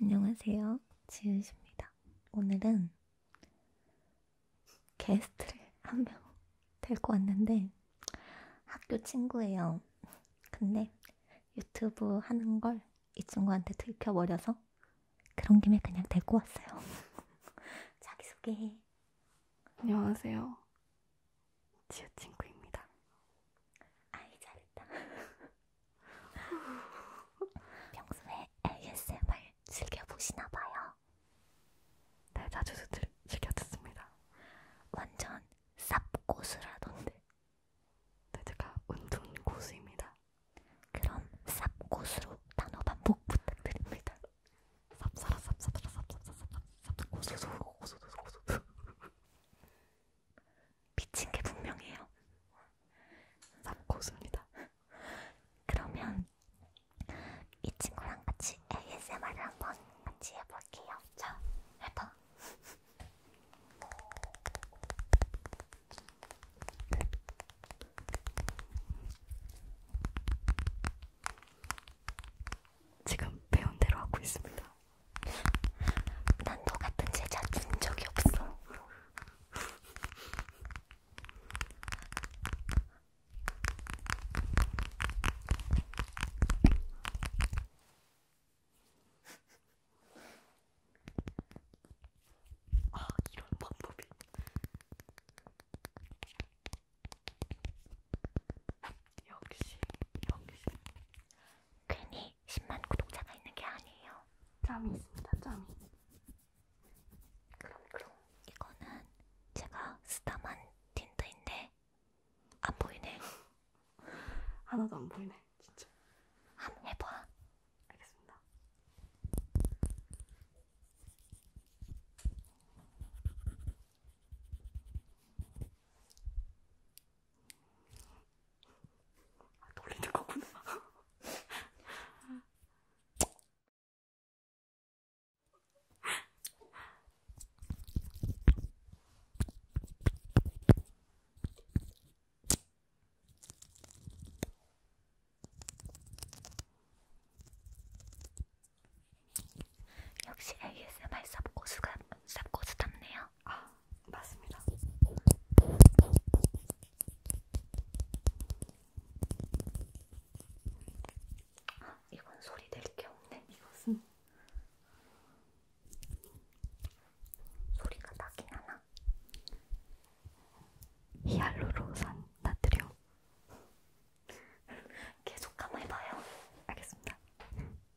안녕하세요. 지윤씨입니다. 오늘은 게스트를 한 명 데리고 왔는데 학교 친구예요. 근데 유튜브 하는 걸 이 친구한테 들켜버려서 그런 김에 그냥 데리고 왔어요. 자기소개해. 안녕하세요. 지우 친구입니다. 아이 잘했다. 평소에 ASMR 즐겨 보시나 봐요. 네 자주 들, 즐겨 듣습니다. 완전 쌉고수라던데. 네 제가 운동 고수입니다. 그럼 쌉고수로 단어 반복 부탁드립니다. 쌉싸라 쌉싸라 쌉싸라 쌉싸라 쌉싸라 고수고수고수고수 미친 게 분명해요. 쌉고수입니다. 그러면 이 친구랑 같이 ASMR을 한번 같이 해볼게요. 자, 해봐. 지금 배운 대로 하고 있습니다. 난너 같은 제자 둔 적이 없어. 아, 이런 방법이. 역시, 역시. 괜히 이렇게 10만 구독자가 있는 게 아니에요. 점이 있습니다. 점이. 그럼 그럼 이거는 제가 쓰다만 틴트인데 안 보이네. 하나도 안 보이네. 진짜. 한번 해봐. 알겠습니다. 아, 놀리는 거구나. 역시 ASMR 쌉고수가 쌉고수 답네요. 아, 맞습니다. 아, 이건 소리 낼 게 없네. 이것은 소리가 나긴 하나? 히알루로산 나트륨. 계속 가만히 봐요. 알겠습니다.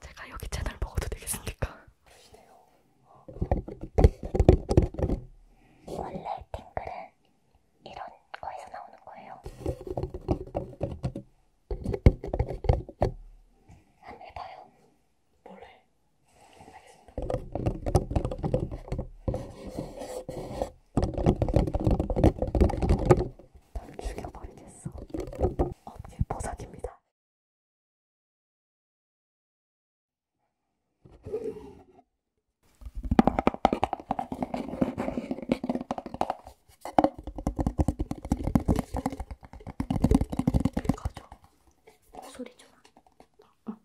제가 여기 채널 먹어도 되겠습니까? 드시네요. 원래 탱글은 이런 거에서 나오는 거예요. 한번 해봐요. 몰래. 알겠습니다. 널 죽여버리겠어. 업계 보석입니다. 가져. 소리 좀. 어.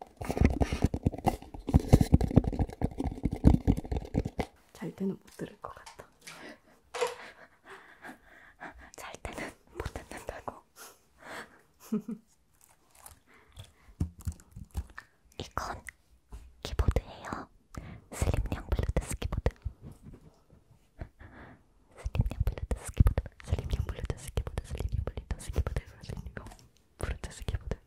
잘 때는 못 들을 것 같아. 있어. 잘 때는 못 듣는다고. 이건 키보드예요. 슬림형 블루투스 키보드. 슬림형 블루투스 키보드. 슬림형 블루투스 키보드. 슬림형 블루투스 키보드. 슬림형 블루투스 키보드.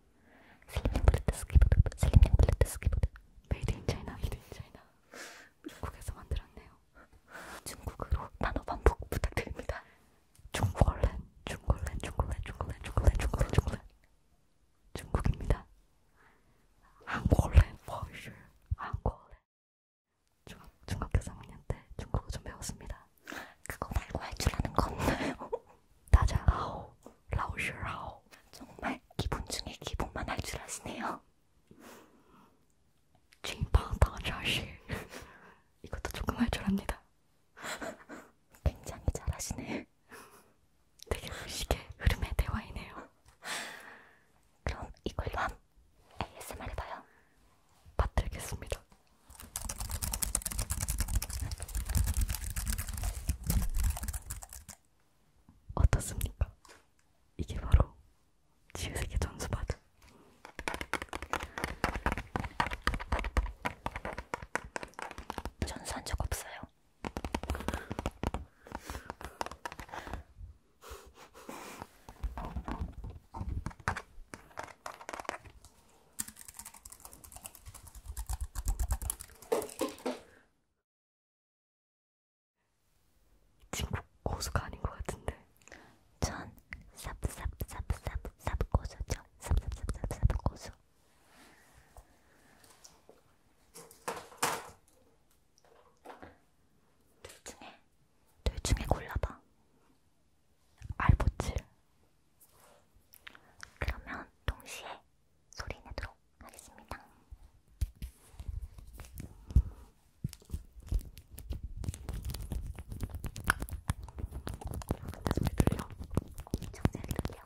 슬림형 블루투스 키보드. 슬림형 블루투스 키보드. 메이드 인 차이나. 메이드 인 차이나. 중국에서 만들었네요. 중국어로 단어 반복 부탁드립니다. 중국어랜, 중국어랜, 중국어랜, 중국어랜, 중국어랜, 중국어랜, 중국어랜. 중국입니다. 한국어랜, for sure. 한국어랜. 중학, 중학교 3학년 때 중국어 좀 배웠습니다. 그거 말고 할 줄 아는 거 없나요? 다자하오 라오슈라오 정말 기본 중에 기본만 할 줄 아시네요. 칭방당 자식 이것도 조금 할 줄 압니다. 굉장히 잘하시네. 되게 무식의 흐름의 대화이네요. 그럼 이걸로 한 ASMR 해봐요. 받들겠습니다. 어떻습니까? 이게 바로 지우색의 전수바드. 전수한 적 없어요. 친구 고수가 아닌 것 같은데. 전 삽삽삽삽삽 고수죠. 삽삽삽삽삽 고수. 둘 중에 둘 중에 골라봐. 알보칠. 그러면 동시에 소리 내도록 하겠습니다. 나 소리 들려? 엄청 잘 들려.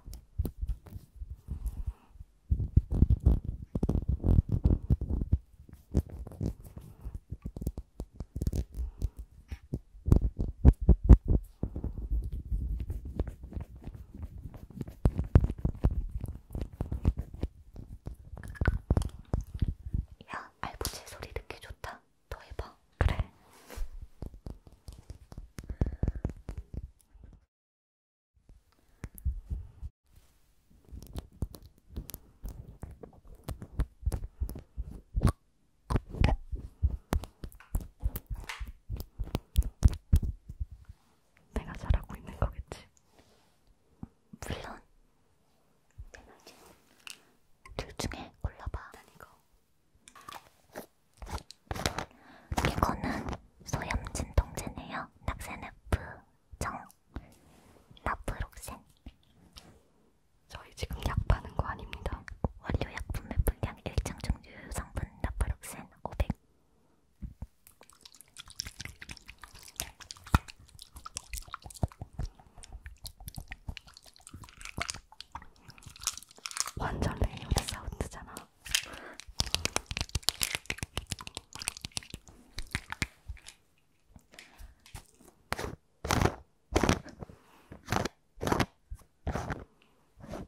야, 알부채 소리 듣기 좋다. 더 해봐. 그래. 내가 잘하고 있는 거겠지. 물론 둘 중에 골라봐. 난 이거. 이거는 소염진 동제네요. 낙세네프 정 나프록센. 저희 지금 약 파는 거 아닙니다. 원료 약품의 분량, 일정 중류 성분, 성분 나프록센 500 완전 레이어드 사운드잖아.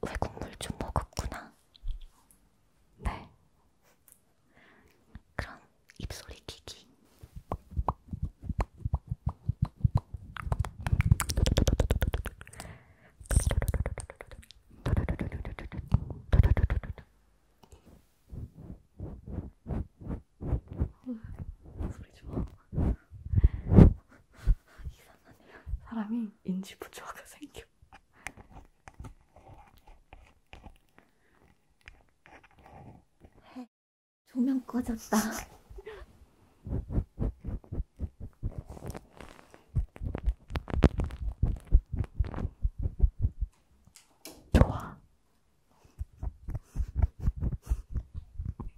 외국물 좀 먹었구나. 네. 그럼 입소리 기기. 소리 좋아. 이상하네. 사람이 인지 부조화가 생겨. 큐. 조명 꺼졌다. 좋아.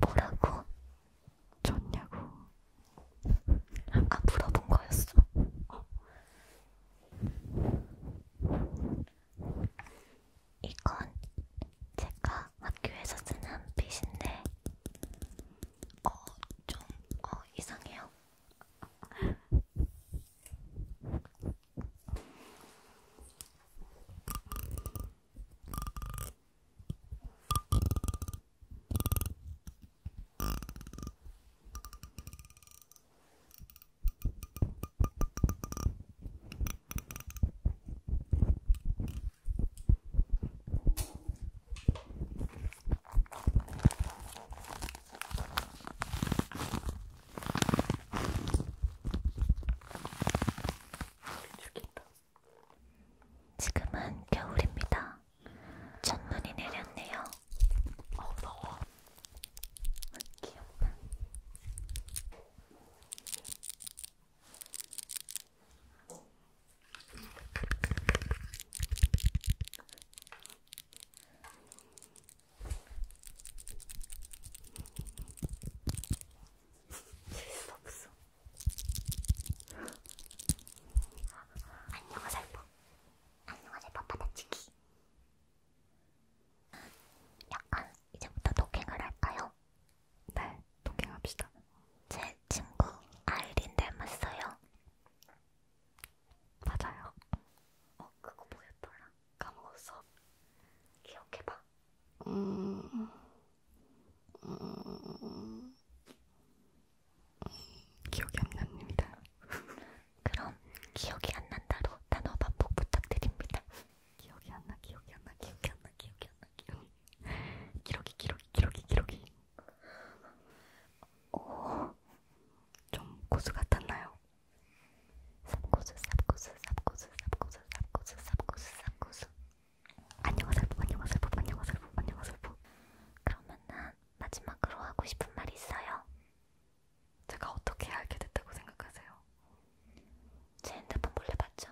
뭐라고? 좋냐고. 아 물어본 거였어. 어. 이건 제가 학교에서 쓰는 빗인데 어좀 어, 이상해요. 죽겠다. 지금은 겨울입니다. 첫눈이 내렸네요. 어, 아, 더워. 귀엽다. 재수없어. 안녕하세요 안녕하세요 파파다치기 약간 이제부터 도킹을 할까요? 네 도킹합시다 제 친구 아이린 닮았어요 맞아요 어 그거 뭐였더라 까먹었어 기억해봐 음... 음... 기억이 안 납니다. 그럼 기억이 안 난다로 단어 반복 부탁드립니다. 기억이 안 나, 기억이 안 나, 기억이 안 나, 기억이 안 나, 기억이 안 나. 기록이, 기록이, 기록이, 기록이. 오, 어, 좀 고수 같았나요? 삽고수, 삽고수, 삽고수, 삽고수, 삽고수, 삽고수, 삽고수. 안녕하세요 안녕하세요 안녕하세요 안녕하세요 그러면은 마지막으로 하고 싶은 말이 있어요? 제가 어떻게 알게 됐다고 생각하세요? 제 핸드폰 몰래 봤죠?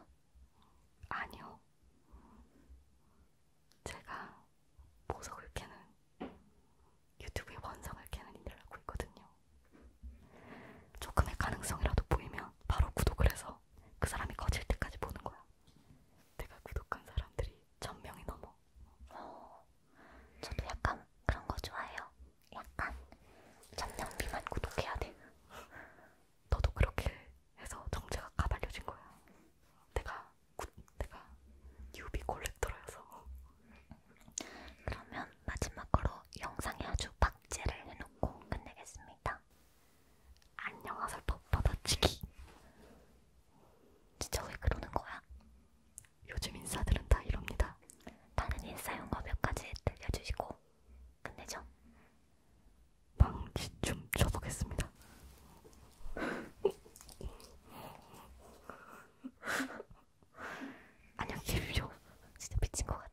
아니요 제가 보석을 캐는 유튜브에 원상을 캐는 일을 하고 있거든요 조금의 가능성이라도 보이면 바로 구독을 해서 그 사람이 거칠 때까지 보는 거야 내가 구독한 사람들이 1000명이 넘어. 어, 저도 약간 그런 거 좋아해요. 약간 1000명 미만 구독해야 돼. 너도 그렇게 해서 정체가 가발려진 거야. 내가 구, 내가 뉴비 콜렉터라서. 그러면 마지막으로 영상에 아주 박제를 해놓고 끝내겠습니다. 안녕하세요 헙바다치기 진짜 왜 그러는 거야? 요즘 인싸들은 다 이럽니다. 나는 인싸 용어 몇 가지 들려주시고 끝내죠. 방귀 좀 쳐보겠습니다. 안녕히 계십시오. 진짜 미친 것 같아.